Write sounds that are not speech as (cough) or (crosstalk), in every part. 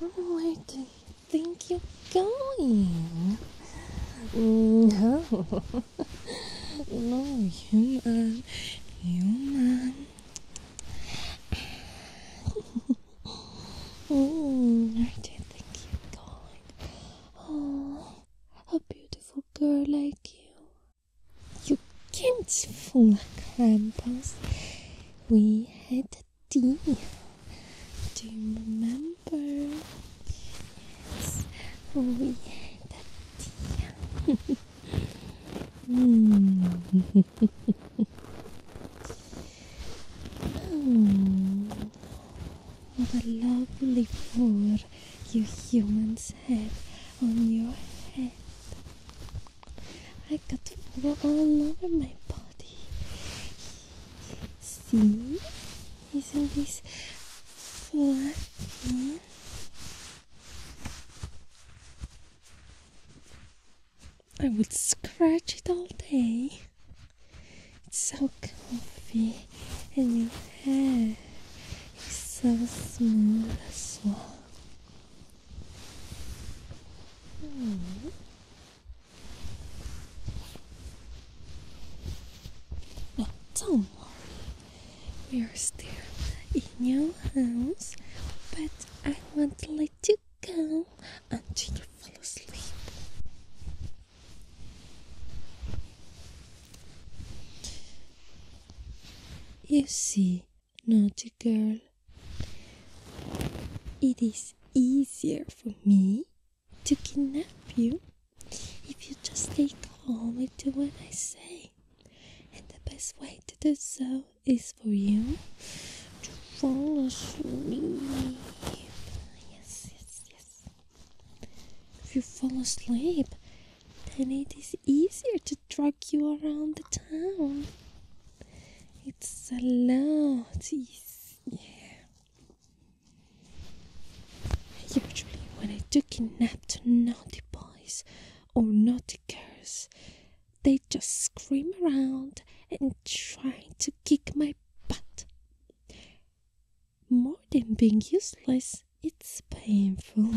Where do you think you're going? Mm, (laughs) no, no, human, human. (laughs) mm, where do you think you're going? Oh, a beautiful girl like you. You can't fool Krampus. We had do you remember? Yes. Oh, we that D. (laughs) Hmm. what a lovely fur you humans have on your head. I got fur all over my body. See? Isn't this fluffy? I would scratch it all day. It's so comfy, and your hair is so smooth as well don't hmm. worry. We are still in your house, but I won't let you go until you fall asleep. You see, Naughty girl. It is easier for me to kidnap you if you just stay calm and do what I say. And the best way to do so is for you to fall asleep. Yes, yes, yes. If you fall asleep, then it is easier to drag you around the town. It's so loud. Yeah. Usually, when I do kidnap naughty boys or naughty girls, they just scream around and try to kick my butt. More than being useless, it's painful.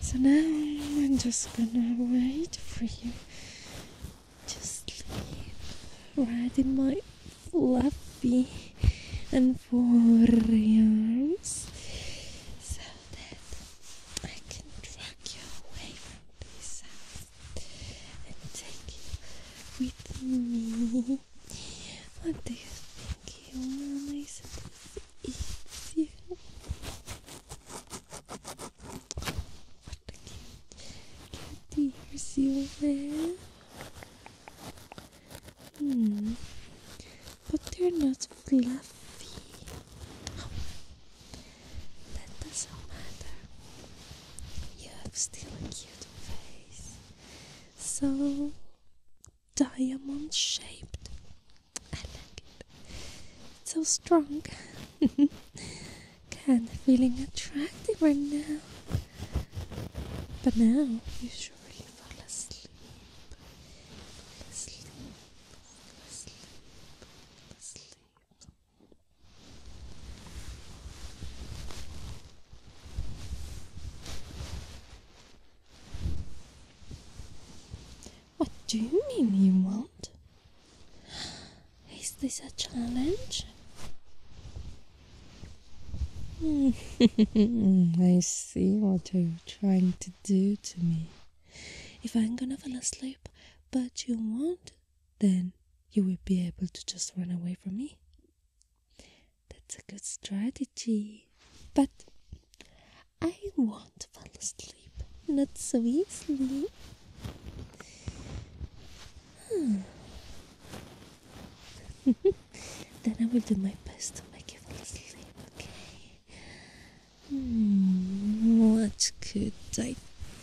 So now I'm just gonna wait for you just sleep right in my fluffy and warriors so that I can drag you away from this house and take you with me. What do you think, human? Isn't this what a cute kitty. You see Hmm. But they're not fluffy. That doesn't matter. You have still a cute face. So diamond shaped. I like it. It's so strong. (laughs) Kinda feeling attractive right now. But now you surely fall asleep. Fall asleep. What do you mean you won't? Is this a challenge? Hmm. (laughs) I see what you're trying to do to me. If I'm gonna fall asleep, but you won't, then you will be able to just run away from me. That's a good strategy, but I won't fall asleep. Not so easily. Hmm. (laughs) then I will do my best to make you fall asleep, okay? Hmm, what could I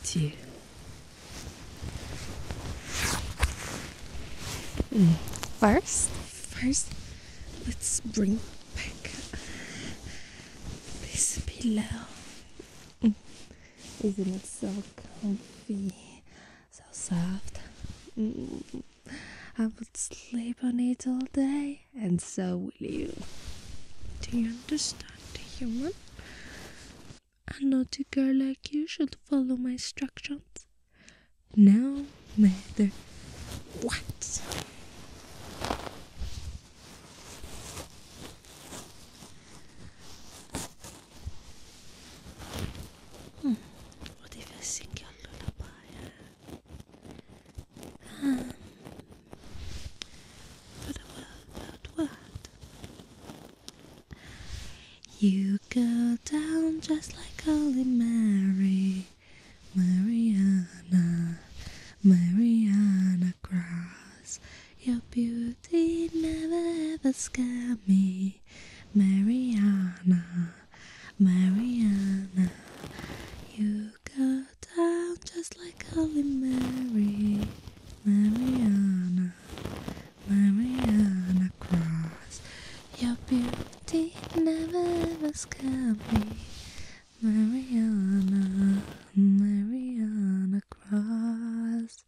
do? Hmm, first? First, let's bring back this pillow. Hmm. Isn't it so comfy? So soft. Mm. I would sleep on it all day, and so will you. Do you understand, human? A naughty girl like you should follow my instructions. No matter what. Mm. Vou diversir que eu um, for the world, world, world. You go down just like Holy Mary, Mariana, Mariana grass. Your beauty never ever scared me, Mariana, Mariana. You go down just like Holy Mary, Mariana, Mariana Cross. Your beauty never ever scared me, Mariana, Mariana. Cross,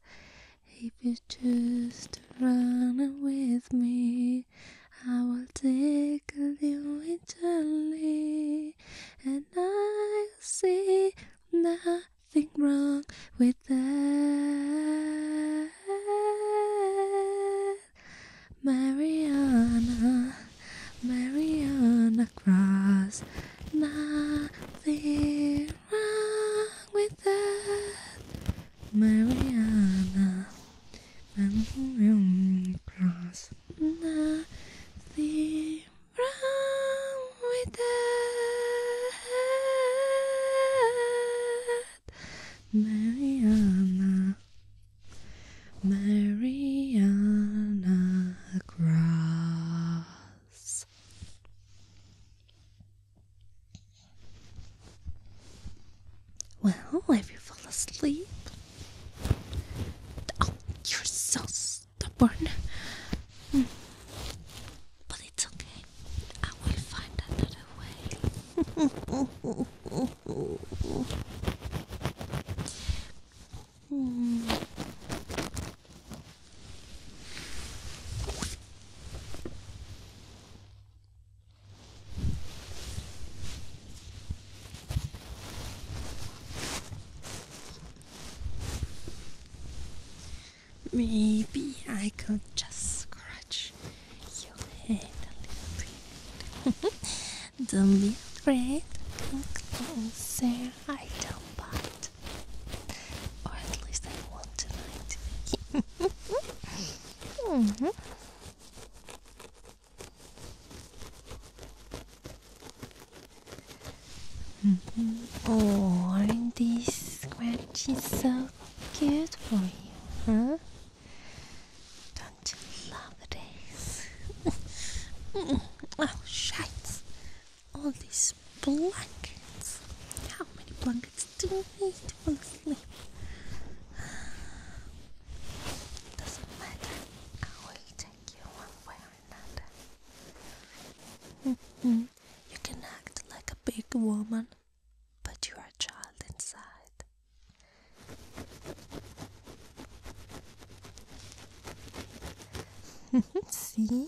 If you choose to run with me, I will tickle you gently, and I see nothing wrong with that. Mariana, Mariana Cross, na nothing wrong with that, Mariana. i cross. Nothing wrong with that, Mariana. Mariana Cross. Well, if you fall asleep. Oh, you're so stubborn. Hmm. But it's okay. I will find another way. (laughs) Hmm. Maybe I could just scratch your head a little bit. (laughs) Don't be afraid. Come closer. I don't bite. Or at least I will tonight. mm -hmm. Mm -hmm. Oh, aren't these scratches so cute for you, huh? Don't you love this? (laughs) oh, shite! all these blankets. How many blankets do we need to fall asleep? Doesn't matter. I will take you one way or another. You can act like a big woman, but you are a child inside. (laughs) See?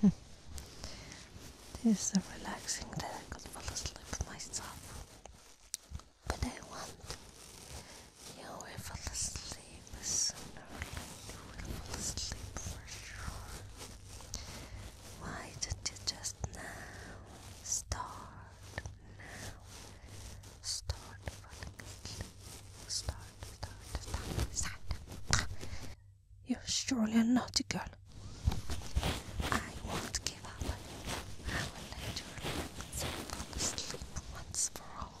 Hmm. This is a relaxing day. I could fall asleep myself. But I want you will fall asleep sooner or later. You will fall asleep for sure. Why do you just now start now? Start falling asleep. Start, start, start, start. You're surely a naughty girl. I won't give up. I will let you relax once for all.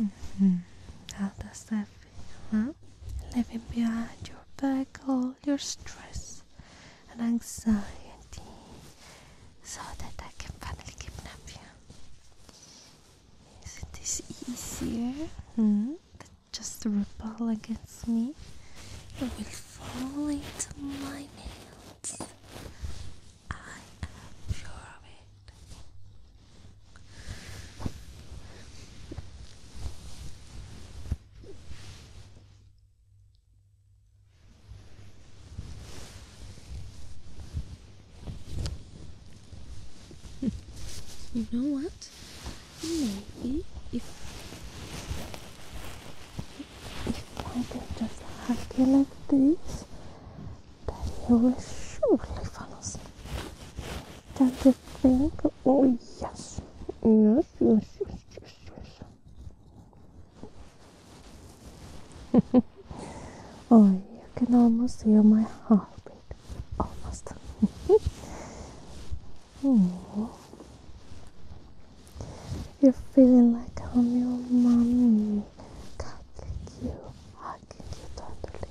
Mm-hmm. How does that feel? Huh? Leaving behind your back all your stress and anxiety so that I can finally kidnap you. Isn't this easier? Hmm? Just rebel against me. I will fall into my hands. I am sure of it. you know what? Maybe if if I can just hug you like this, that he will surely find us. Don't you Oh, yes. Yes, yes, yes, yes, oh, you can almost hear my heartbeat. Almost. oh. You're feeling like I'm your mommy me, cuddling you, hugging you tenderly.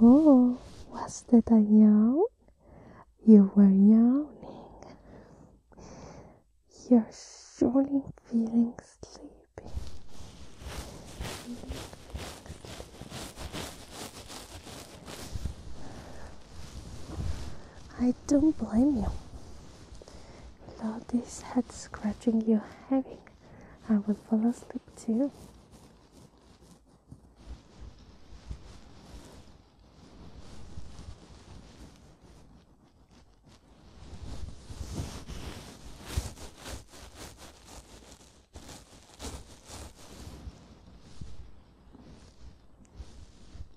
Oh, was that a yawn? You were yawning. You're surely feeling sleepy. I don't blame you. Without this head scratching you're having, I would fall asleep too.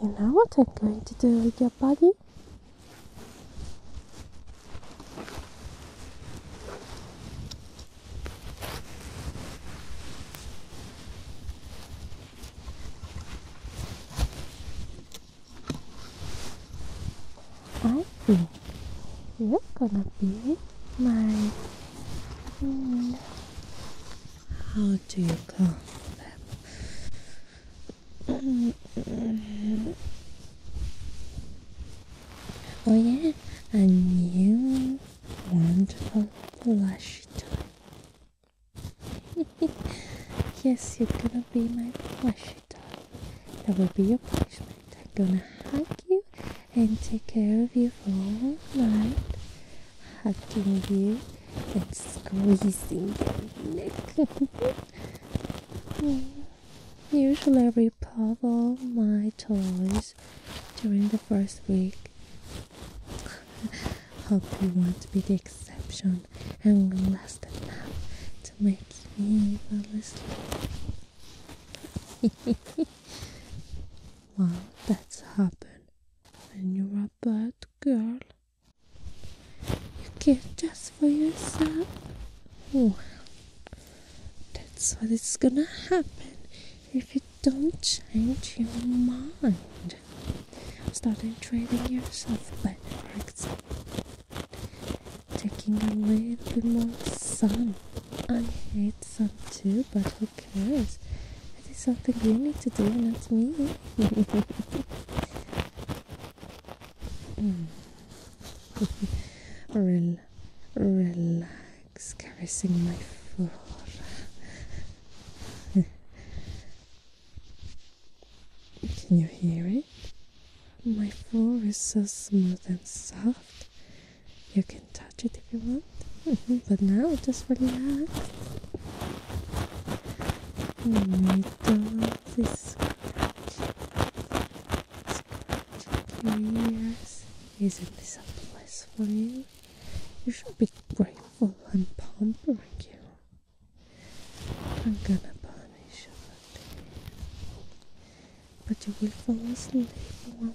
And now what I'm going to do with your body I think you're gonna be my how do you come? oh yeah, and you want a blush toy. (laughs) yes, you're gonna be my plushie toy. That will be your punishment. I'm gonna hug you and take care of you for all night, hugging you and squeezing your neck. (laughs) Usually, I repop all my toys during the first week. (laughs) Hope you won't be the exception and last enough to make me fall asleep. (laughs) Well, that's happened when you're a bad girl. You care just for yourself. Well, that's what is gonna happen if you don't change your mind. Starting treating yourself better, taking a little bit more sun. I hate sun too, but because that is something you need to do, not me. (laughs) Mm. relax, caressing my floor. Can you hear it? My floor is so smooth and soft. You can touch it if you want, mm-hmm. but now just relax. Don't scratch, yes. Isn't this a place for you? You should be grateful I'm pampering you. I'm gonna punish you but you will fall asleep one way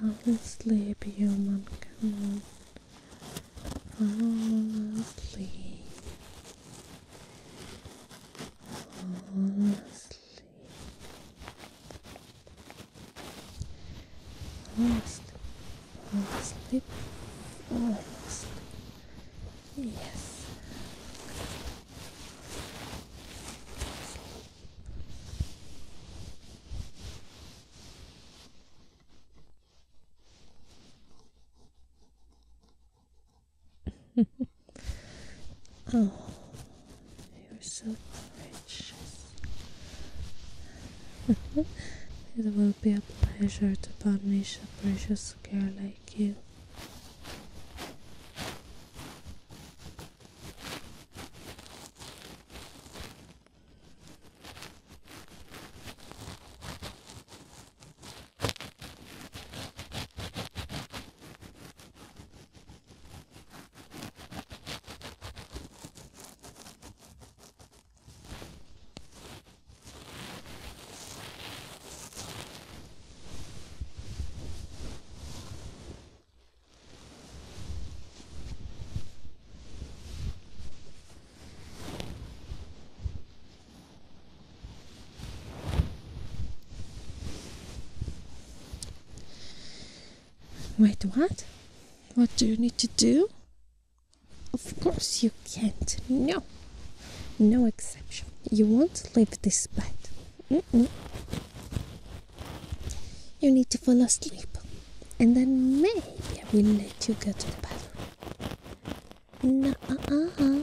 Fall asleep, human. Fall asleep. Fall asleep. Fall asleep. Yes. (laughs) oh, you're so precious. (laughs) it will be a pleasure to publish a precious girl like you. Wait, what? What do you need to do? Of course you can't. No. No exception. You won't leave this bed. Mm -mm. You need to fall asleep. And then maybe I will let you go to the bathroom. No, uh uh.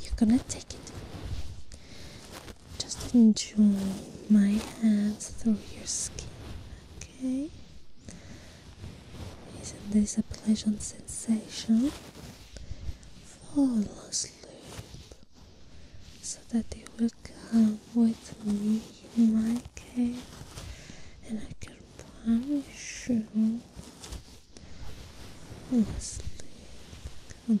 You're gonna take it. Just enjoy my hands through your skin. Okay. Isn't this a pleasant sensation? Fall asleep so that you will come with me in my cave and I can punish you. Fall asleep. Come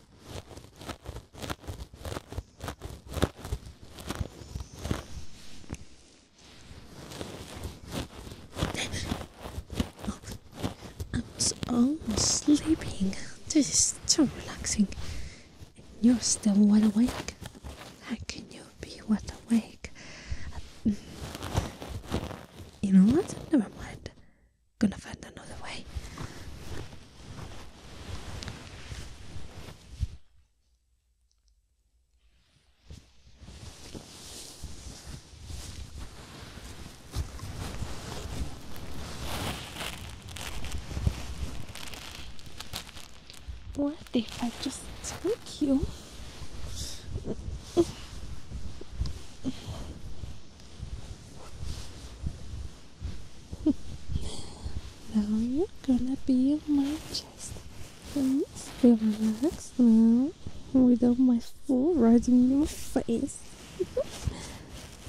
i was almost sleeping. This is so relaxing. you're still wide awake. How can you be wide awake? Um, you know what? Never mind. Gonna find another way. What if I just took you? (laughs) now you're gonna be on my chest. Please feel relaxed now without my foot riding in your face.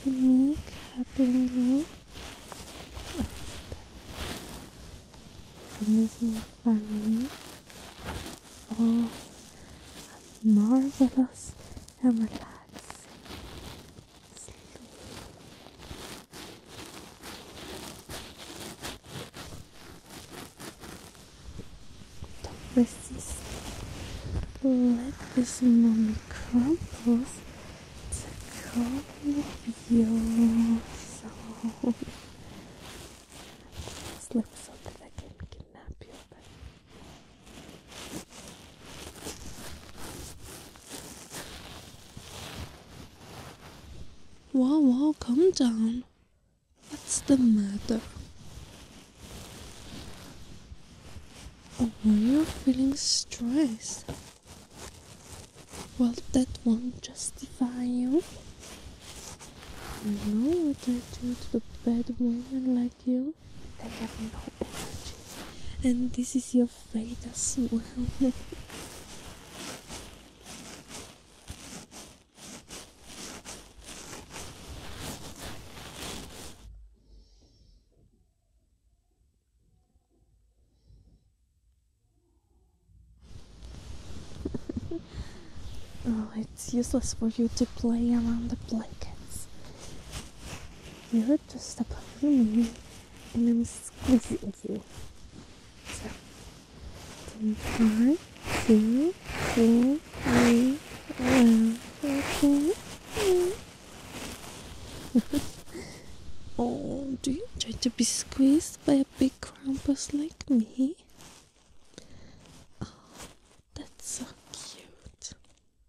Make happy now. Miss Oh, marvelous and relax. Sleep. Don't Let this moment crumbles to calm your soul. Slip something that can kidnap you, but Whoa, whoa, calm down. What's the matter? Are you feeling stressed. Well, that won't justify you. I know what I do to the bad woman like you you have no energy. And this is your fate as well. (laughs) oh, it's useless for you to play around the blankets. You're just a part me, and I'm squeezing you. So, oh, do you try to be squeezed by a big crumpus like me? Oh, that's so cute.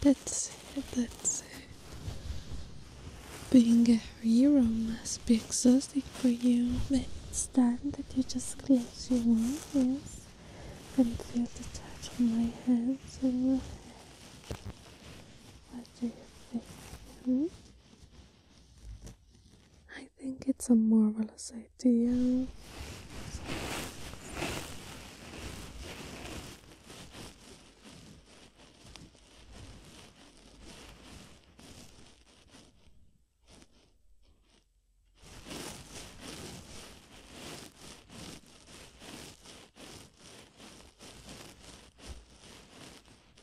That's that's Being a hero must be exhausting for you. It's time that you just close your eyes and feel the touch of my hands on your head. I think it's a marvelous idea.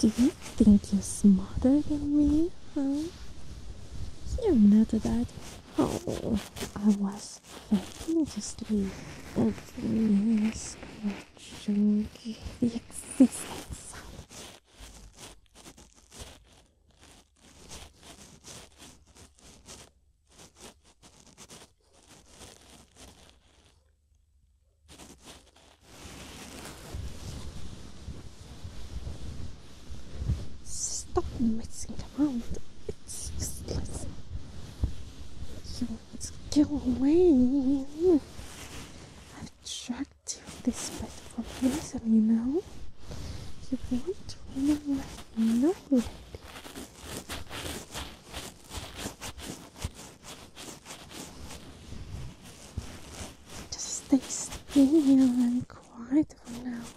Do you think you're smarter than me, huh? You're not a dad. Oh, I was fabulously ugly, scratching the existence. Stop messing around. It's useless. You want to go away. I've dragged you this bed for prison, you know. You won't remember Just stay still and quiet for now.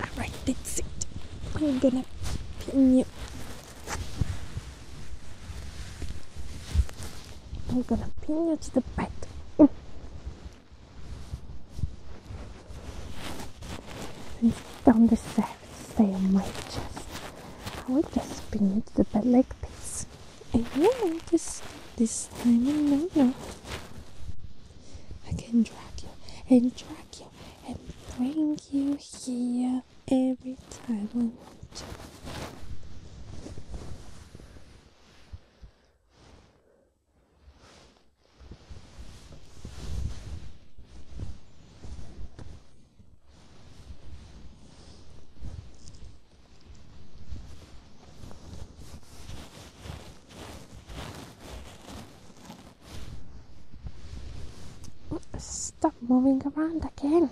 Alright, that's it. I'm gonna pin you. I'm gonna pin you to the bed. Mm. And down the stairs, stay on my chest. I will just bring it the bed like this. And you know this this time and no no. I can drag you and drag you and bring you here every time I want to. Stop moving around again.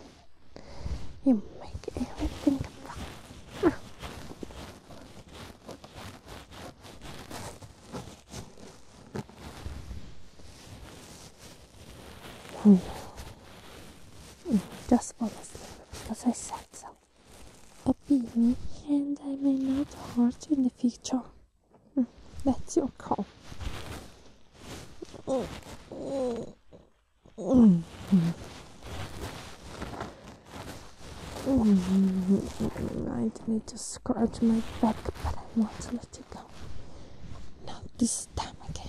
You make everything wrong. Mm. Mm. Just fall asleep because I said so. Obey me and I may not hurt you in the future. Mm. That's your call. i need to scratch my back, but I want to let you go. Not this time again.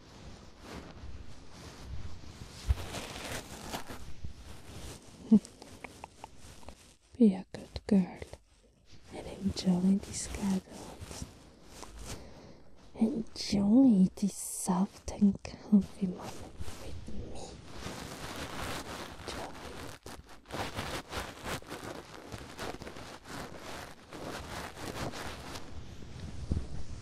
(laughs) Be a good girl and enjoy these cuddles. Enjoy this soft and comfy moment with me.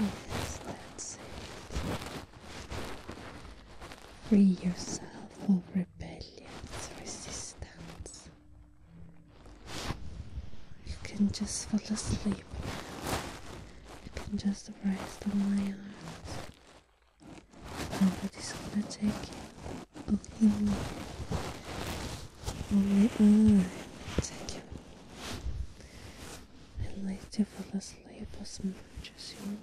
Yes, let's see. Free yourself of rebellion, resistance. You can just fall asleep You can just rest on my arms. Nobody's gonna take you. Only me. Only I take you and let you fall asleep as much as you want.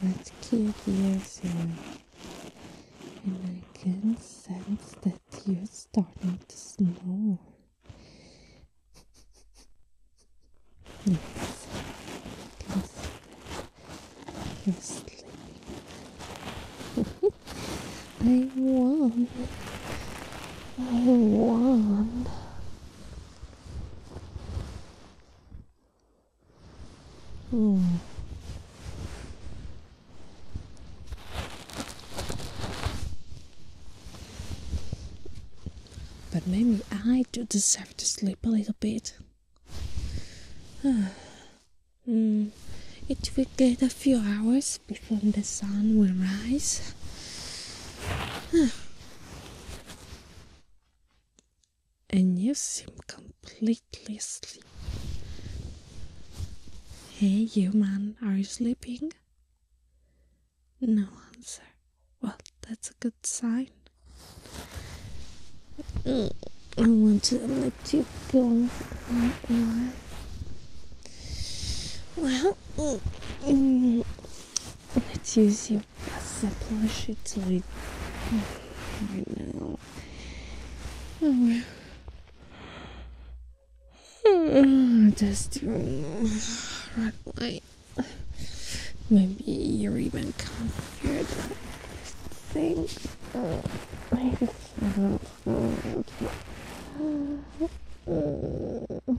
Let's keep ears in. And I can sense that you're starting to snore. yes, I can (laughs) I won. I won. Hmm. But maybe I do deserve to sleep a little bit. (sighs) mm. It will get a few hours before the sun will rise. (sighs) Hmm and you seem completely asleep. Hey, you man, are you sleeping? No answer. Well, that's a good sign. Mm, I want to let you go. Well, mm, mm. Let's use your puzzle plush. It's like right now. Oh. oh just um, red Maybe you're even comfier than I think. Oh, I